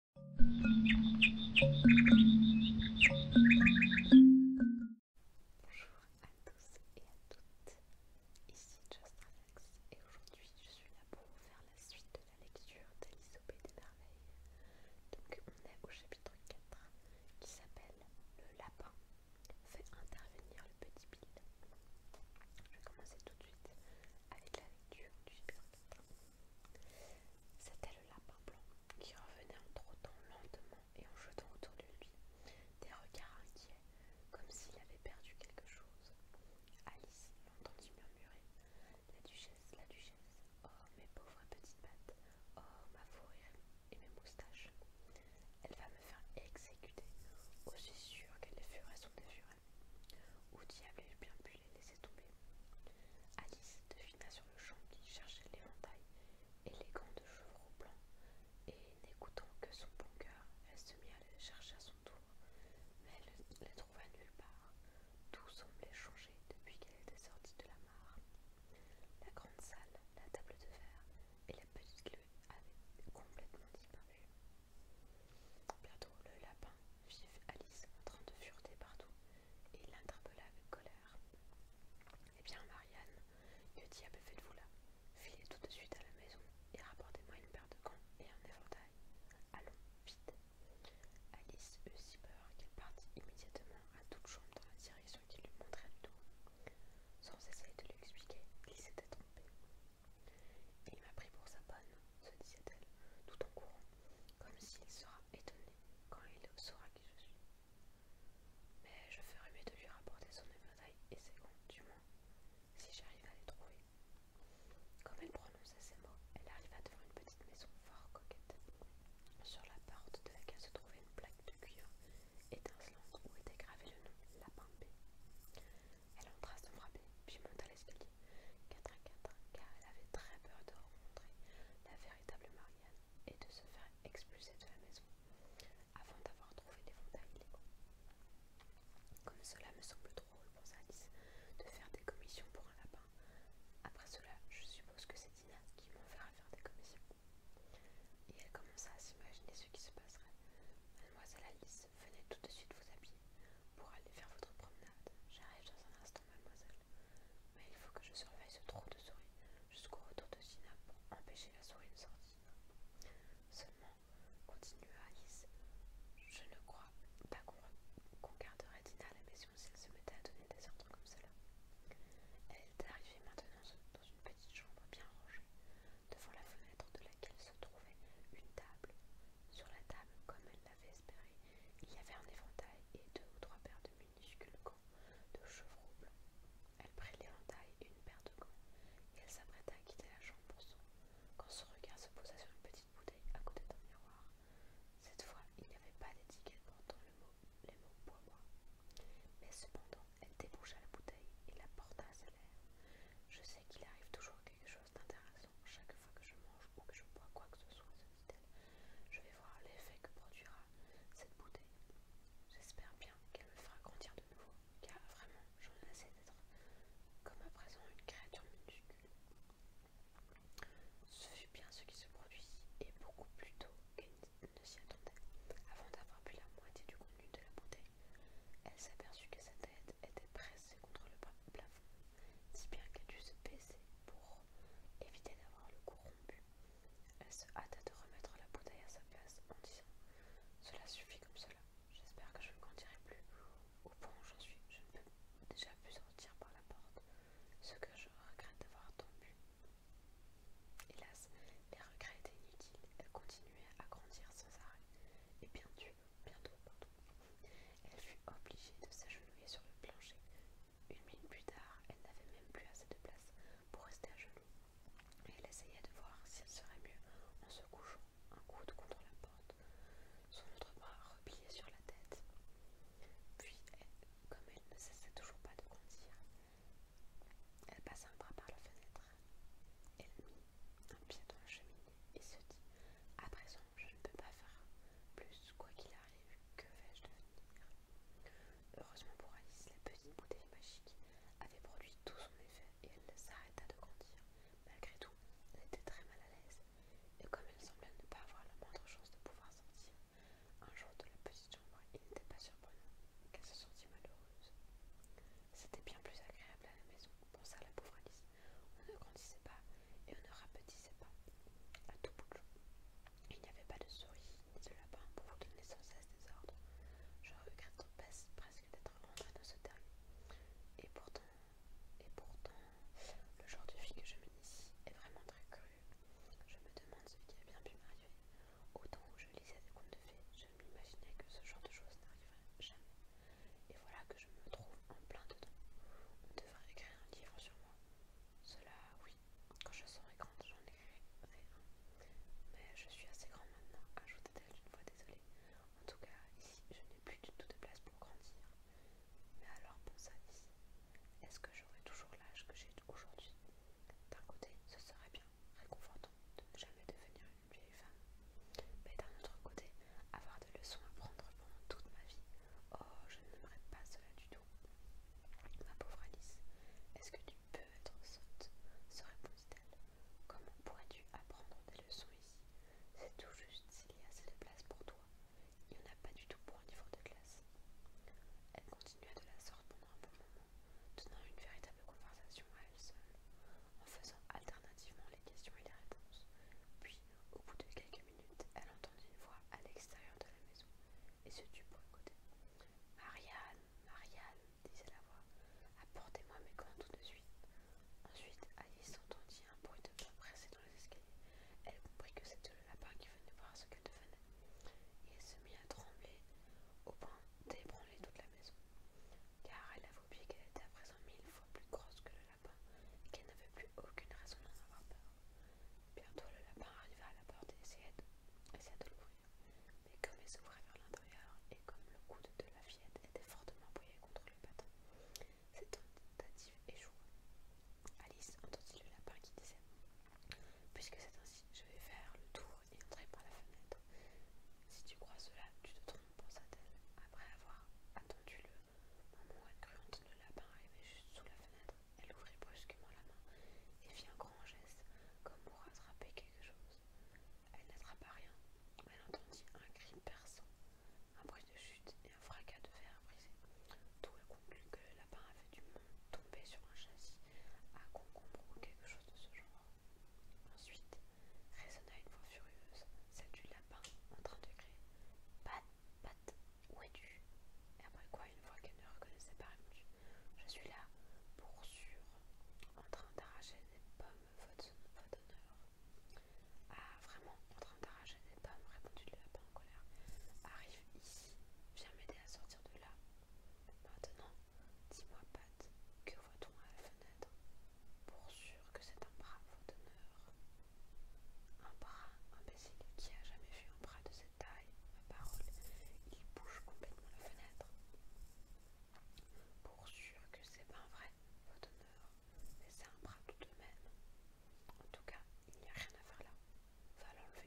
Bonjour à tous et à toutes, ici JustRelax et aujourd'hui je suis là pour vous faire la suite de la lecture d'Alice des Merveilles. Donc on est au chapitre 4 qui s'appelle Le lapin fait intervenir le petit Bill. Je vais commencer tout de suite avec la lecture du chapitre c'était le lapin blanc qui revenait en trottant lentement et en jetant autour de lui des regards inquiets, comme s'il avait perdu quelque chose. Alice l'entendit murmurer La duchesse, la duchesse, oh mes pauvres petites pattes, oh ma fourrure et mes moustaches. Elle va me faire exécuter, aussi sûr qu'elle les furets sont des furets. Où diable avait je bien pu les laisser tomber Alice devina sur le champ qui cherchait l'éventail et les gants de chevreau blanc, et n'écoutant que son bon cœur, elle se mit à les chercher à son tour, mais elle ne les trouva nulle part. Tout semblait changer depuis qu'elle était sortie de la mare. La grande salle, la table de fer et la petite lune avaient complètement disparu. Bientôt le lapin vit Alice en train de fureter partout et l'interpella avec colère. Eh bien Marianne, que diable faites-vous là Filez tout de suite à la maison et rapportez-moi une paire de gants et un éventail. Allons, vite. Alice eut si peur qu'elle partit immédiatement à toute chambre dans la direction qu'il lui montrait le dos. Sans essayer de lui expliquer, il s'était trompé. Il m'a pris pour sa bonne, se disait-elle, tout en courant, comme s'il sera étonné quand il saura qui je suis. Mais je ferai mieux de lui rapporter son éventail et ses comptes, du moins, si j'arrive à les trouver. Comme elle prononçait ces mots, elle arriva devant une petite maison fort coquette. Sur la porte de laquelle se trouvait une plaque de cuir étincelante où était gravé le nom Lapin B. Elle entra sans frapper, puis monta l'escalier, quatre à quatre, car elle avait très peur de rencontrer la véritable Marianne et de se faire expulser de la maison avant d'avoir trouvé des les légaux. « Comme cela me semble drôle, pensa Alice, de faire des commissions pour un lapin. Après cela, je suppose que c'est Dina qui m'enverra faire des commissions. Et elle commença à s'imaginer ce qui se passerait. Mademoiselle Alice venez tout de suite vous habiller pour aller faire votre promenade. J'arrive dans un instant, mademoiselle. Mais il faut que je surveille ce trou de souris jusqu'au retour de Sina pour empêcher la souris de sortir. Seulement, continua Alice, je ne crois pas qu'on garderait Dina à la maison si se mettait à donner des ordres comme cela. Elle est arrivée maintenant dans une petite chambre bien rangée, devant la fenêtre de laquelle se trouvait une table, sur la table, comme elle l'avait espéré, il y avait un éventail et deux ou trois paires de minuscules gants de chevreau blanc. Elle prit l'éventail et une paire de gants, et elle s'apprêta à quitter la chambre pour son, quand son regard se posa sur une petite bouteille à côté d'un miroir. Cette fois, il n'y avait pas d'étiquette portant le mot, les mots « bois bois ». Mais cependant, elle déboucha la bouteille et la porta à sa lèvre. « Je sais qu'il arrive toujours quelque chose c'est intéressant. chaque fois que je mange ou que je bois quoi que ce soit, Je vais voir l'effet que produira cette bouteille. J'espère bien qu'elle me fera grandir de nouveau, car vraiment, j'en ai assez d'être comme à présent une créature minuscule. Ce fut bien ce qui se produit et beaucoup plus tôt qu'elle ne s'y attendait. Avant d'avoir bu la moitié du contenu de la bouteille, elle s'aperçut que sa tête était pressée contre le plafond, si bien qu'elle dut se baisser pour éviter d'avoir le cou rompu. Elle se hâta de remettre la bouteille à sa place en disant Cela suffit comme cela, j'espère que je ne grandirai plus. Au point où j'en suis, je ne peux déjà plus sortir par la porte, ce que je regrette d'avoir tombé. » Hélas, les regrets étaient inutiles, elle continuait à grandir sans arrêt, et bien bientôt, Elle fut obligée de s'agenouiller sur le plancher. Une minute plus tard, elle n'avait même plus assez de place pour rester à genoux. elle essayait de voir si elle serait mieux en se couchant un coude contre la porte, son autre bras replié sur la tête. Puis, comme elle ne cessait toujours pas de grandir, elle passa un bras par la fenêtre elle mit un pied dans la cheminée et se dit À présent, je ne peux pas faire plus, quoi qu'il arrive, que vais-je devenir Heureusement pour Alice, la petite bouteille magique avait produit tout son effet et elle s'arrêta de grandir. Malgré tout, elle était très mal à l'aise, et comme elle semblait ne pas avoir la moindre chance de pouvoir sortir, un jour de la petite chambre, il n'était pas surprenant qu'elle se sentit malheureuse. C'était bien plus agréable à la maison, pensa la pauvre Alice. On ne grandissait pas et on ne rapetissait pas à tout bout. Il n'y avait pas de souris ni de lapin pour vous donner sans cesse des ordres. Je regrette presque d'être rentrée dans ce terme Et pourtant, et pourtant, le genre de fille que je mène ici est vraiment très cru. Je me demande ce qui a bien pu m'arriver. Autant où je lisais des contes de fées, je m'imaginais que ce genre de choses n'arriverait jamais. Et voilà que je me trouve en plein dedans. On devrait écrire un livre sur moi. Cela, oui, quand je serai grande, j'en écrirai un. Mais je suis assez grande maintenant, ajouta elle d'une voix désolée. En tout cas, ici, je n'ai plus du tout de place pour grandir. Mais alors, pour ça, est-ce que j'aurai toujours l'âge que j'ai aujourd'hui D'un côté, ce serait bien réconfortant de ne jamais devenir une vieille femme. Mais d'un autre côté, avoir des leçons à prendre pendant toute ma vie, oh, je n'aimerais pas cela du tout. Ma pauvre Alice, est-ce que tu peux être sotte se répondit-elle. Comment pourrais-tu apprendre des leçons ici C'est tout juste s'il y a assez de place pour toi. Il n'y en a pas du tout pour un livre de classe. Elle continua de la sorte pendant un moment tenant une véritable conversation à elle seule, en faisant alternativement les questions et les réponses. Puis, au bout de quelques minutes, elle entendit une voix à l'extérieur de la maison et se tut pour écouter. Marianne, Marianne, disait la voix, apportez-moi mes gants tout de suite. Ensuite, Alice entendit un bruit de pas pressé dans les escaliers. Elle comprit que c'était le lapin qui venait voir ce qu'elle devenait. Et elle se mit à trembler au point d'ébranler toute la maison car elle avait oublié qu'elle était à présent mille fois plus grosse que le lapin et qu'elle n'avait plus aucune raison d'en avoir peur. Bientôt le lapin arriva à la porte et essayait de, l'ouvrir, mais comme elle s'ouvrait vers l'intérieur et comme le coude de la fillette était fortement appuyé contre le bâton, cette tentative échoua. Alice entendit le lapin qui disait Puisque c'est ainsi, je vais faire le tour et entrer par la fenêtre. Si tu crois cela, tu te trompes, pensa-t-elle, après avoir attendu le moment où elle entendre le lapin arrivait juste sous la fenêtre. Elle ouvrit brusquement la main et fit un grand geste, comme pour attraper quelque chose. Elle n'attrapa rien. Elle entendit un cri perçant, un bruit de chute et un fracas de fer brisé. Tout elle conclut que le lapin avait dû tomber sur un châssis à concombre ou quelque chose de ce genre. Ensuite, résonna une voix furieuse, celle du lapin, en train de crier Pat, Pat, où es-tu Et après quoi, une voix qu'elle ne reconnaissait pas répondit Je suis là, pour sûr, en train d'arracher des pommes, votre, votre honneur. Ah, vraiment, en train d'arracher des pommes, répondit le lapin en colère. Arrive ici, viens m'aider à sortir de là. Maintenant, Dis-moi, Pat, que voit-on à la fenêtre Pour sûr que c'est un bras votre honneur. — Un bras, imbécile, qui a jamais vu un bras de cette taille Ma parole, il bouge complètement la fenêtre. Pour sûr que c'est pas vrai, votre honneur, mais c'est un bras tout de même. En tout cas, il n'y a rien à faire là. Va l'enlever,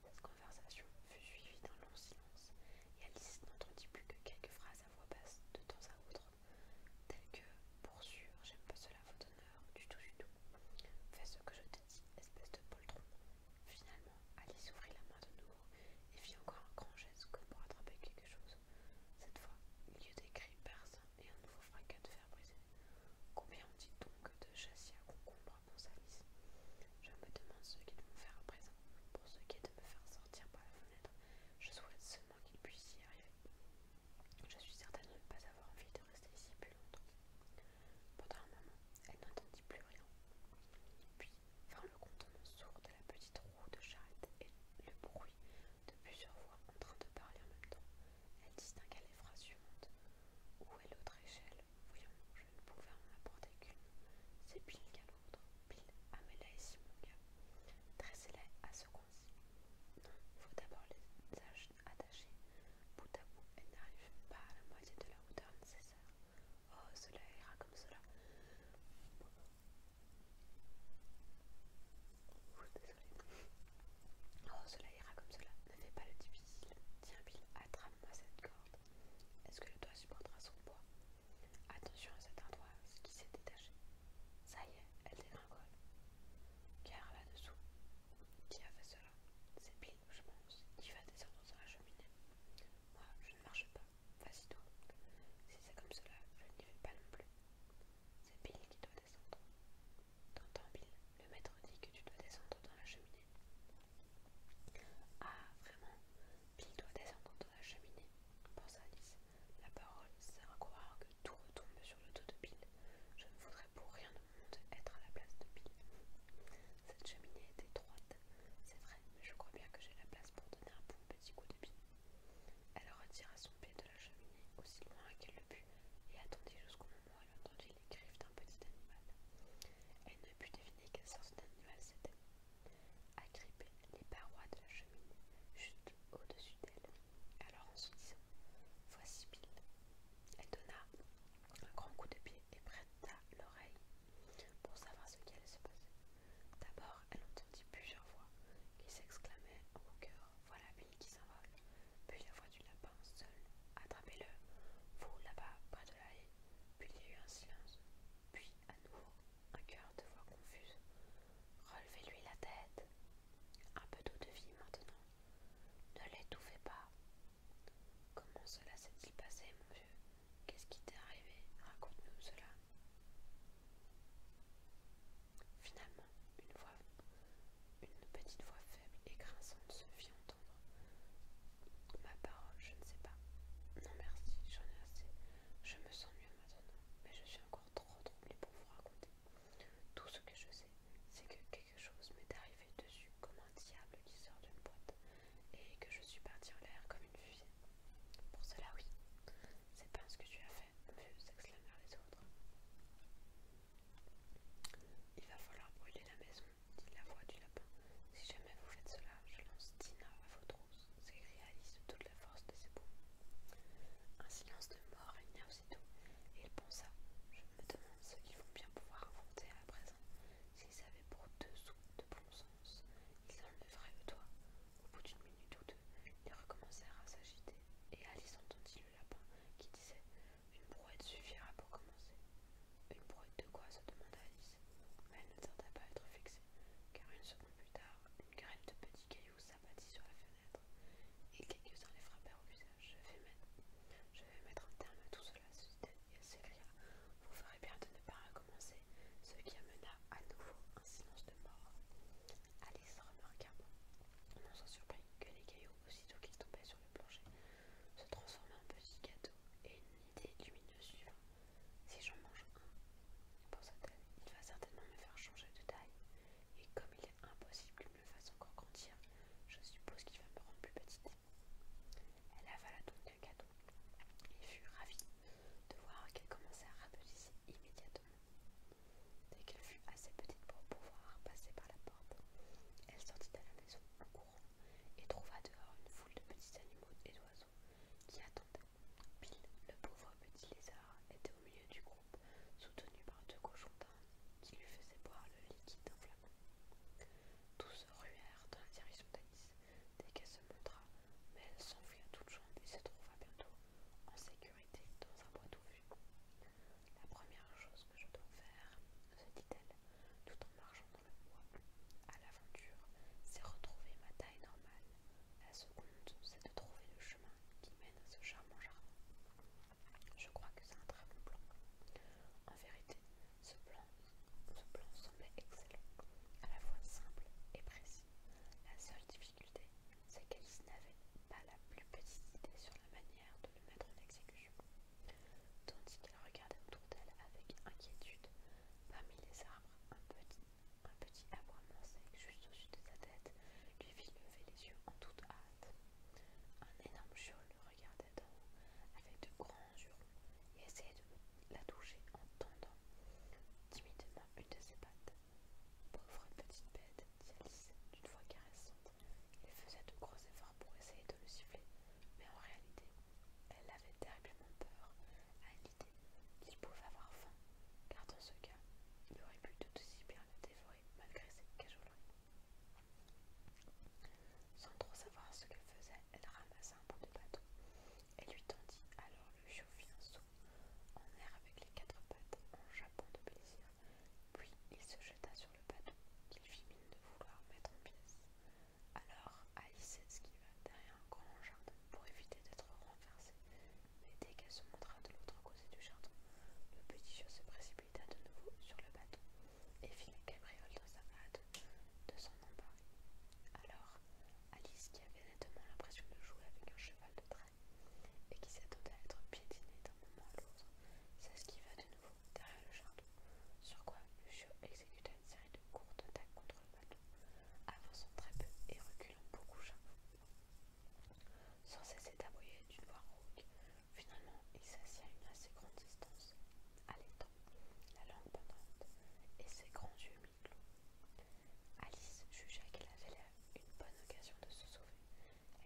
cette conversation fut suivie d'un long silence, et Alice n'entendit plus que quelques phrases à voix basse de temps à autre, telles que Pour sûr, j'aime pas cela, votre honneur, du tout, du tout. Fais ce que je te dis, espèce de poltron. Finalement, Alice ouvrit la main de nouveau et fit encore un grand geste comme pour attraper quelque chose. Cette fois, il y eut des cris perçants et un nouveau fracas de fer brisé. Combien on dit donc de châssis à concombre je me demande ce qu'ils vont faire à présent. Pour ce qui est de me faire sortir par la fenêtre, je souhaite seulement qu'ils puissent y arriver. Je suis certaine de ne pas avoir envie de rester ici plus longtemps. Pendant un moment, elle n'entendit plus rien. Puis vers le contentement sourd de la petite roue de charrette et le bruit de plusieurs voix en train de parler en même temps. Elle distingua les phrases suivantes. Où est l'autre échelle voyons, je ne pouvais en apporter qu'une. C'est pile qu'un l'autre. Pile, amène-la ici, mon gars. Dressez-la à ce qu'on-ci. Non, faut d'abord les attacher. Bout à bout, elle n'arrive pas à la moitié de la hauteur nécessaire. Oh, cela ira comme cela. Oh, désolé. Oh, cela ira comme cela. Ne fais pas le difficile. Tiens, pile attrape cette corde. Est-ce que le doigt supportera son poids Attention à cette ce qui s'est détaché. Ça y est, elle dégringole. Car là-dessous, qui a fait cela C'est Bill, je pense, qui va descendre dans la cheminée. Moi, je ne marche pas. Vas-y toi. Si c'est comme cela, je n'y vais pas non plus. C'est Bill qui doit descendre. T'entends, Bill Le maître dit que tu dois descendre dans la cheminée. Ah, vraiment, Bill doit descendre dans la cheminée, pensa Alice. La parole c'est à croire que tout retombe sur le dos de Bill. Je ne voudrais pour rien au monde être à la place de Bill. Cette cheminée est étroite, c'est vrai, mais je crois bien que j'ai la place pour donner un bon petit coup de Bill. Elle retira son pied de la cheminée aussi loin qu'elle le put et attendit jusqu'au elle elle les griffes d'un petit animal. Elle ne put deviner quelle sorte d'animal c'était. les parois de la cheminée, juste au-dessus d'elle. Alors en se disant Voici Bill. Elle donna un grand coup de pied et prêta l'oreille pour savoir ce qui allait se passer. D'abord, elle entendit plusieurs voix qui s'exclamaient au cœur Voilà Bill qui s'envole. Puis la voix du lapin seul. Attrapez-le, vous là-bas, près de la haie. Puis il y a eu un silence. Puis, à nouveau, un cœur de voix confuse. Relevez-lui la tête. Un peu d'eau de vie maintenant. Ne l'étouffez pas. Comment cela s'est-il passé, mon vieux Qu'est-ce qui t'est arrivé Raconte-nous cela. Finalement, une voix une petite voix faible et grinçante se fit entendre. Ma parole, je ne sais pas. Non merci, j'en ai assez. Je me sens mieux maintenant, mais je suis encore trop troublée pour vous raconter. Tout ce que je sais, c'est que quelque chose m'est arrivé dessus comme un diable qui sort d'une boîte, et que je suis partie en l'air comme une fusée. Pour cela, oui. C'est pas ce que tu as fait, mon vieux, s'exclamèrent les autres. Il va falloir brûler la maison, dit la voix du lapin. Si jamais vous faites cela, je lance Tina à votre trousses, s'écria Alice de toute la force de ses poumons. Un silence de mort ses aussitôt, et il pensa Je me demande ce qu'ils vont bien pouvoir inventer à présent. S'ils avaient pour deux sous de bon sens, ils enlèveraient le toit. Au bout d'une minute ou deux, ils recommencèrent à s'agiter, et Alice entendit le lapin qui disait une brouette suffira pour commencer. Une brouette de quoi se demanda Alice, mais elle ne tarda pas à être fixée, car une seconde plus tard, une graine de petits cailloux s'abattit sur la fenêtre, et quelques-uns les frappèrent au visage. Je vais, mettre, un terme à tout cela, Vous ferez bien de ne pas recommencer, ce qui amena à nouveau un silence de mort. Alice remarqua, non sans surprise, que les cailloux aussitôt qu'il tombait sur le plancher, se transforma en petit gâteau, et une idée lumineuse suivant. Si j'en mange un, il va certainement me faire changer de taille, et comme il est impossible qu'il me le fasse encore grandir, je suppose qu'il va me rendre plus petite. Elle avala donc le gâteau, et fut ravie de voir qu'elle commençait à rapetisser immédiatement. Dès qu'elle fut assez petite pour pouvoir passer par la elle sortit de la maison en courant et trouva dehors une foule de petits animaux et d'oiseaux qui attendaient. Bill, le pauvre petit lézard, était au milieu du groupe, soutenu par deux cochons d'Inde qui lui faisaient boire le liquide d'un flacon. Tous se ruèrent dans la direction d'Alice dès qu'elle se montra, mais elle s'enfuit à toute et se trouva bientôt en sécurité dans un bois vu. La première chose que je dois faire, se dit-elle, tout en marchant dans le bois, à l'aventure, c'est retrouver ma taille normale. La seconde, c'est de trouver le chemin qui mène à ce charmant jardin. Je crois que c'est un très bon plan. En vérité, ce plan, plan semblait excellent, à la fois simple et précis. La seule difficulté, c'est qu'elle n'avait pas la plus petite idée sur la manière de le mettre en exécution, tandis qu'elle regardait autour d'elle avec inquiétude. Parmi les arbres, un petit, un petit arbre sec juste au-dessus de sa tête lui fit lever les yeux en toute hâte. Un énorme chou le regardait d'en haut avec de grands jurons et essayait de la toucher en tendant timidement une de ses pattes. Pauvre petite bête, dit Alice, d'une voix caressante. Il faisait de gros efforts pour essayer de le siffler, mais en réalité, elle avait terriblement peur à l'idée qu'il pouvait avoir faim, car dans ce cas, il aurait pu tout aussi bien le dévorer malgré ses cajoleries. Sans trop savoir ce qu'elle faisait, elle ramassa un bout de bâton et lui tendit alors le un saut en air avec les quatre pattes en japon de plaisir. Puis il se jeta sur le bateau qu'il fit mine de vouloir mettre en pièces. Alors Alice va derrière un grand jardin pour éviter d'être renversée, mais dès qu'elle se montra de l'autre côté du jardin, le petit chien se précipita de nouveau sur le bateau et fit la cabriole dans sa hâte de s'en emparer. Alors Alice, qui avait nettement l'impression de jouer avec un cheval de trait, et qui s'attendait à être piétiné d'un moment à l'autre, va de nouveau derrière le château, sur quoi Lucio exécuta une série de courtes attaques contre le bateau, avançant très peu et reculant beaucoup chaque Sans cesser d'aboyer d'une voix rauque, finalement il s'assit à une assez grande distance, à la langue pendante, et ses grands yeux mi-clos. Alice jugea qu'elle avait là une bonne occasion de se sauver,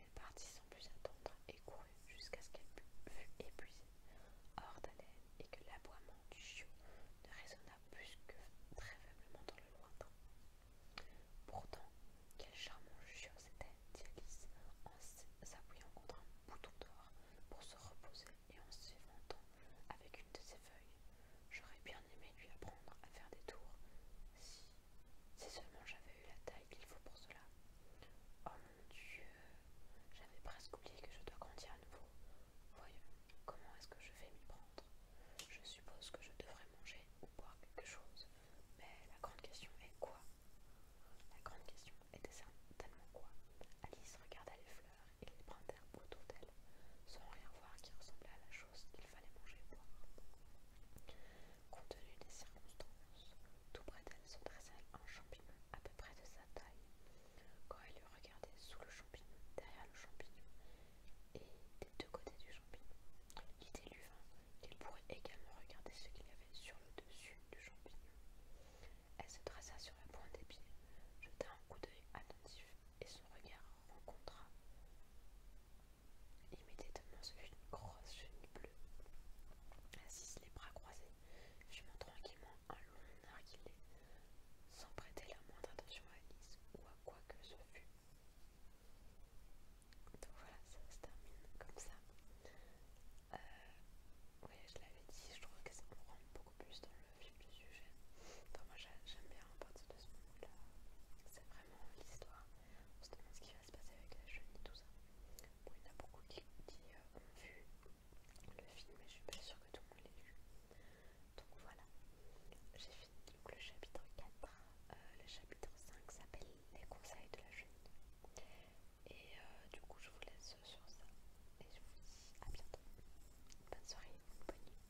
elle partit sans plus attendre et courut jusqu'à ce qu'elle fût épuisée, hors d'haleine, et que l'aboiement du chiot ne résonna plus que très faiblement dans le lointain. Pourtant, quel charmant chiot c'était, dit Alice, en s'appuyant contre un bouton d'or pour se reposer et en s'éventant avec une de ses feuilles. J'aurais bien aimé lui apprendre à faire des tours si seulement j'avais eu la taille qu'il faut pour cela. Oh mon Dieu, j'avais presque oublié que je dois grandir à nouveau. Voyons, comment est-ce que je vais m'y prendre Je suppose que je devrais manger ou boire quelque chose, mais la grande question est quoi La grande question était certainement quoi Alice regarda les fleurs et les brins d'herbe autour d'elle, sans rien voir qui ressemblait à la chose qu'il fallait manger ou boire. Compte tenu des circonstances, tout près d'elle se dressait un champignon à peu près de sa taille. Quand elle le regardait sous le champignon, derrière le champignon et des deux côtés du champignon, l'idée lui vint qu'il pourrait également regarder ce qu'il y avait sur le dessus du champignon. Elle se dressa sur la pointe des pieds, jeta un coup d'œil attentif et son regard rencontra Immédiatement c'est une grosse chenille bleue. Assise les bras croisés, montre tranquillement un long narguilé, sans prêter la moindre attention à Alice ou à quoi que ce fût. Donc voilà, ça se termine comme ça. Euh, oui, je l'avais dit, je trouve que ça me rend beaucoup plus dans le vif du sujet. Enfin, moi j'aime bien à partir de ce moment-là, c'est vrai l'histoire. On se demande ce qui va se passer avec la et tout ça. Bon, il y en a beaucoup qui, ont euh, vu le film, mais je suis pas sûre que tout le monde l'ait vu. Donc voilà, j'ai fini donc, le chapitre 4. Euh, le chapitre 5 s'appelle Les conseils de la jeune Et euh, du coup, je vous laisse sur ça. Et je vous dis à bientôt. Bonne soirée, bonne nuit.